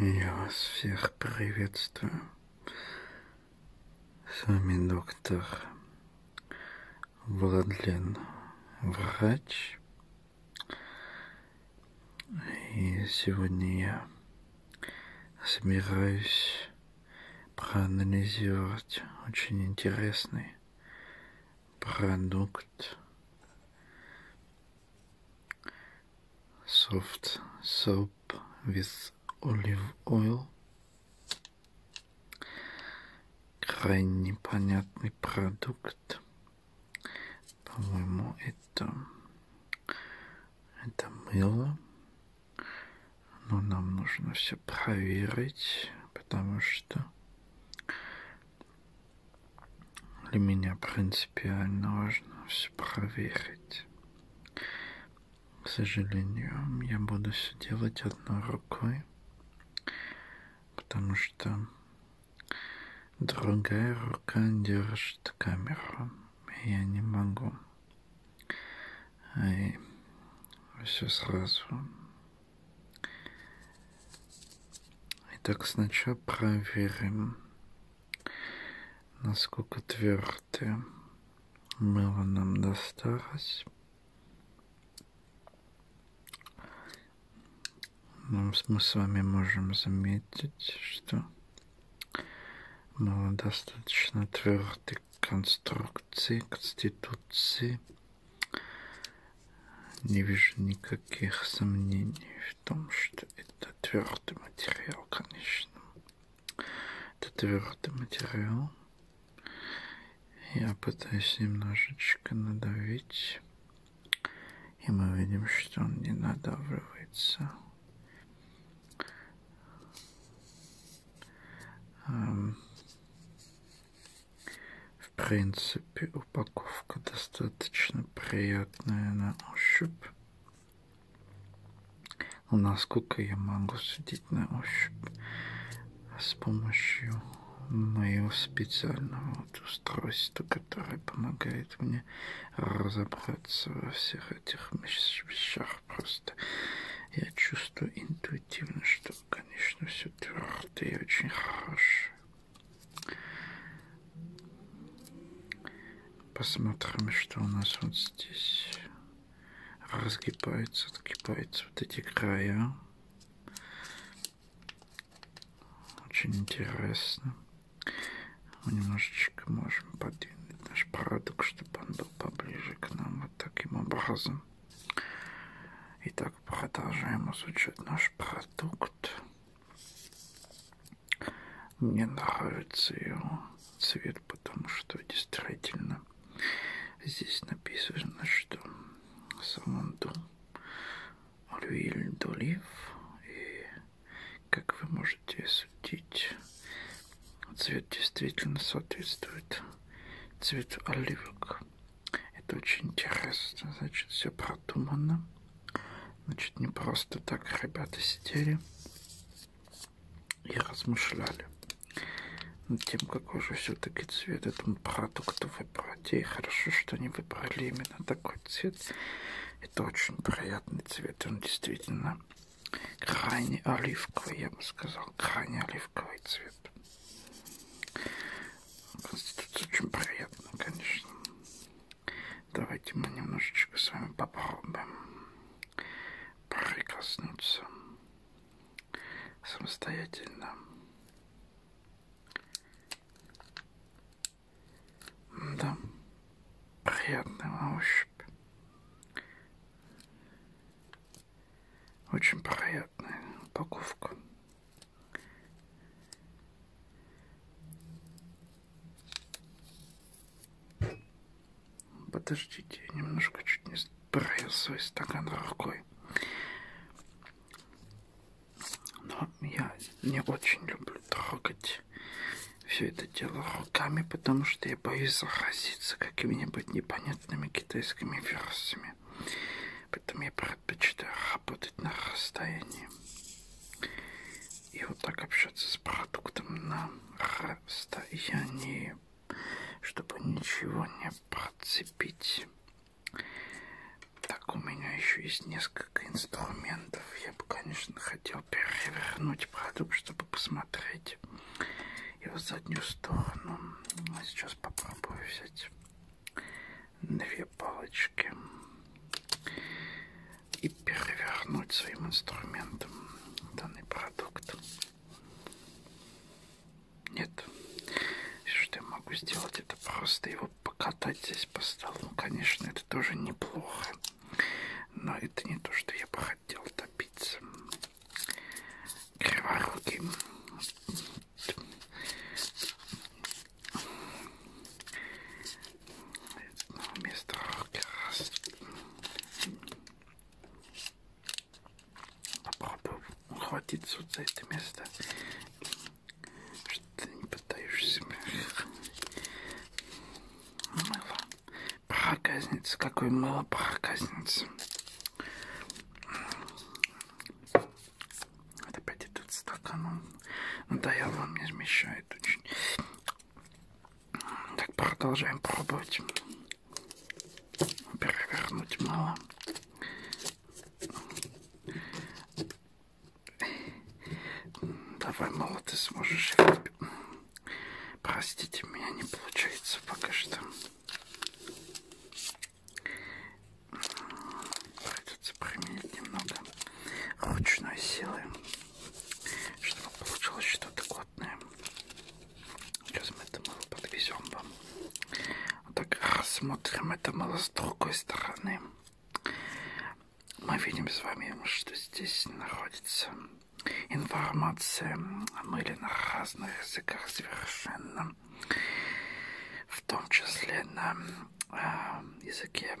Я вас всех приветствую. С вами доктор Владлен Врач. И сегодня я собираюсь проанализировать очень интересный продукт soft soap with olive oil. Крайне понятный продукт. По-моему, это, это мыло. Но нам нужно все проверить, потому что для меня принципиально важно все проверить. К сожалению, я буду все делать одной рукой, потому что другая рука держит камеру. И я не могу и все сразу Итак, сначала проверим, насколько твердое мыло нам досталось. Но ну, мы с вами можем заметить, что мало достаточно твердой конструкции, конституции – не вижу никаких сомнений в том, что это твердый материал, конечно. Это твердый материал. Я пытаюсь немножечко надавить. И мы видим, что он не надавливается. В принципе, упаковка достаточно приятная на ощупь. Но насколько я могу судить на ощупь с помощью моего специального вот устройства, которое помогает мне разобраться во всех этих вещах. Просто я чувствую интуитивно, что Конечно, все твердое и очень хорошее. Посмотрим, что у нас вот здесь разгибается, отгибается вот эти края. Очень интересно. Мы немножечко можем подвинуть наш продукт, чтобы он был поближе к нам вот таким образом. Итак, продолжаем изучать наш продукт. Мне нравится его цвет, потому что действительно здесь написано, что самонду Люиль Долив. И, как вы можете судить, Цвет действительно соответствует цвету оливок. Это очень интересно. Значит, все продумано. Значит, не просто так ребята сидели и размышляли над тем, какой же все-таки цвет этому продукту выбрать. И хорошо, что они выбрали именно такой цвет. Это очень приятный цвет. Он действительно крайне оливковый, я бы сказал, крайне оливковый цвет. Конституция очень приятно, конечно. Давайте мы немножечко с вами попробуем прикоснуться самостоятельно. Да, приятный на ощупь. Очень приятная упаковка. Подождите, я немножко чуть не сбрил свой стакан рукой. Но я не очень люблю трогать все это делаю руками, потому что я боюсь заразиться какими-нибудь непонятными китайскими вирусами. Поэтому я предпочитаю работать на расстоянии. И вот так общаться с продуктом на расстоянии, чтобы ничего не процепить. Так, у меня еще есть несколько инструментов. Я бы, конечно, хотел перевернуть открыть продукт, чтобы посмотреть его заднюю сторону. А сейчас попробую взять две палочки и перевернуть своим инструментом данный продукт. Нет. Все, что я могу сделать, это просто его покатать здесь по столу. Конечно, это тоже неплохо. Но это не то, что я бы хотел добиться. Криворукий. Но ну, вместо раз попробую ухватиться вот за это место. Что ты не пытаешься. Мыло. Проказница. Какое мыло проказница. Вот опять этот стакан. Он надоел, ну он мне смещает очень. Так, продолжаем пробовать. Перевернуть мало. Давай, мало ты сможешь. Простите, меня не получается пока что. Придется применить немного ручной силы, чтобы получилось что-то годное. Сейчас мы это мыло подвезем вам. Вот так рассмотрим это мыло с другой стороны мы видим с вами, что здесь находится информация о мыле на разных языках совершенно, в том числе на э, языке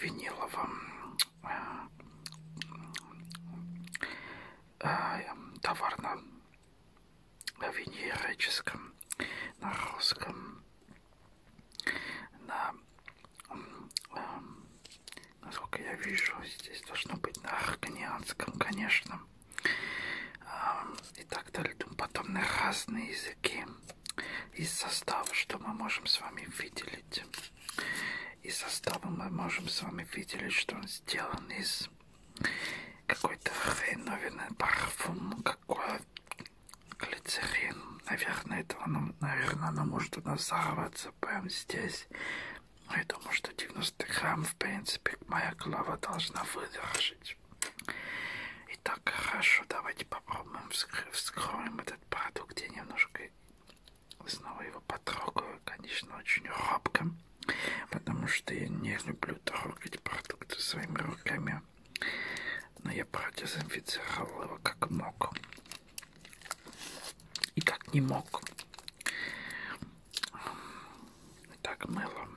виниловом, э, э, товарно-венерическом, на русском, на, насколько я вижу, здесь должно быть на арканианском, конечно, и так далее, потом на разные языки из состава, что мы можем с вами выделить. Из состава мы можем с вами выделить, что он сделан из какой-то хреновины, парфюм, кока-кола, глицерин. Наверное, этого нам, наверное, она может у нас взорваться прямо здесь. Но я думаю, что 90 грамм, в принципе, моя голова должна выдержать. Итак, хорошо, давайте попробуем вскры вскроем этот продукт. Я немножко снова его потрогаю, конечно, очень робко, потому что я не люблю трогать продукты своими руками. Но я продезинфицировал его как мог. И как не мог. Так мыло.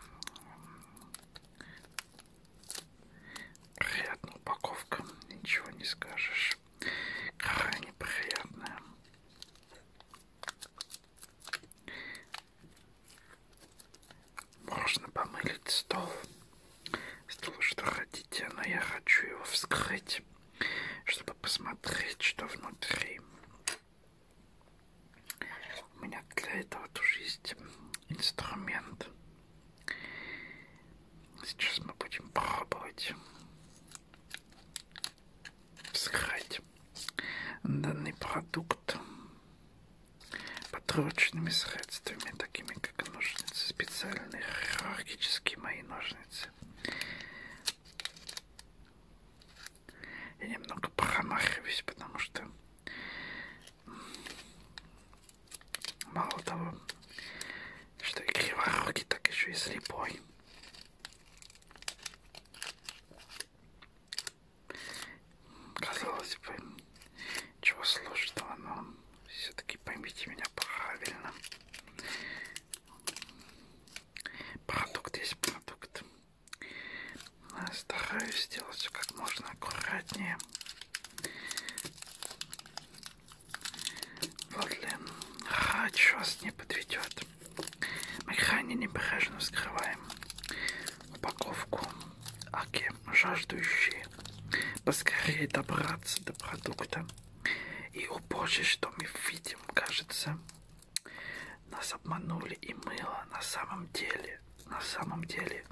Приятная упаковка, ничего не скажешь. Крайне приятная. Можно помылить стол. Стол, что хотите, но я хочу его вскрыть, чтобы посмотреть, что внутри. У меня для этого тоже есть инструмент. Сейчас мы будем пробовать вскрыть данный продукт подручными средствами, такими как ножницы, специальные хирургические мои ножницы. Я немного промахиваюсь, потому что мало того, что и криворукий, так еще и слепой. Казалось бы, чего сложного, но все-таки поймите меня правильно. Продукт есть продукт. Стараюсь сделать все как можно аккуратнее. Владлен Хач вас не подведет. Мы хранение бережно вскрываем упаковку. Аки, жаждущие поскорее добраться до продукта. И о боже, что мы видим, кажется, нас обманули и мыло на самом деле, на самом деле,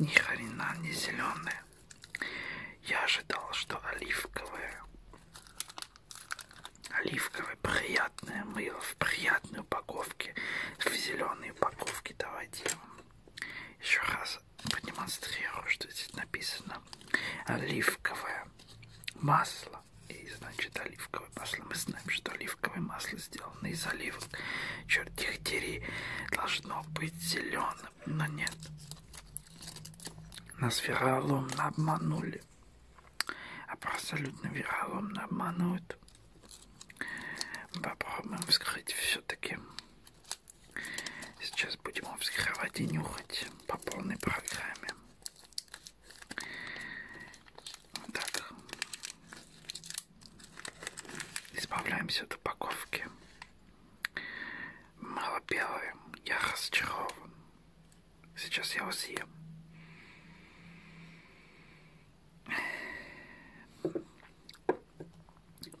ни хрена не зеленое. Я ожидал, что оливковое. Оливка. Первое приятное мыло в приятной упаковке. В зеленой упаковке давайте я вам еще раз продемонстрирую, что здесь написано. Оливковое масло. И значит оливковое масло. Мы знаем, что оливковое масло сделано из оливок. Черт их дери. Должно быть зеленым, но нет. Нас вероломно обманули абсолютно вероломно обманывают. Попробуем вскрыть все-таки. Сейчас будем его вскрывать и нюхать по полной программе. Так. Избавляемся от упаковки. Мало белое. Я разочарован. Сейчас я вас съем.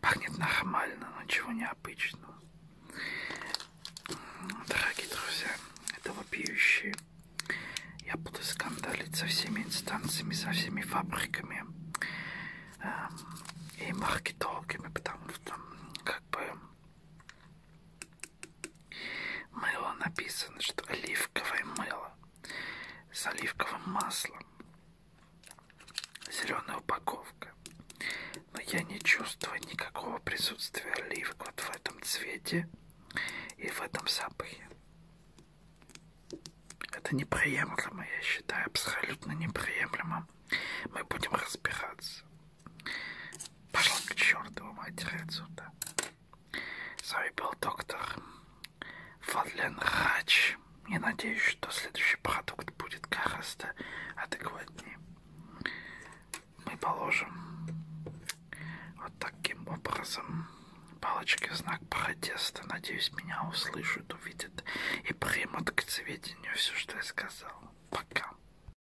Пахнет нормально, но ничего необычного. Дорогие друзья, это вопиющие. Я буду скандалить со всеми инстанциями, со всеми фабриками эм, и маркетологами, потому что как бы Мыло написано, что оливковое мыло с оливковым маслом. Зеленая упаковка. Но я не чувствую никакого присутствия олив вот в этом цвете и в этом запахе. Это неприемлемо, я считаю, абсолютно неприемлемо. Мы будем разбираться. Пошла к чертову матери отсюда. С вами был доктор Фадлен Хач. Я надеюсь, что следующий продукт будет гораздо адекватнее. Мы положим вот таким образом палочки в знак протеста. Надеюсь, меня услышат, увидят и примут к сведению все, что я сказал. Пока.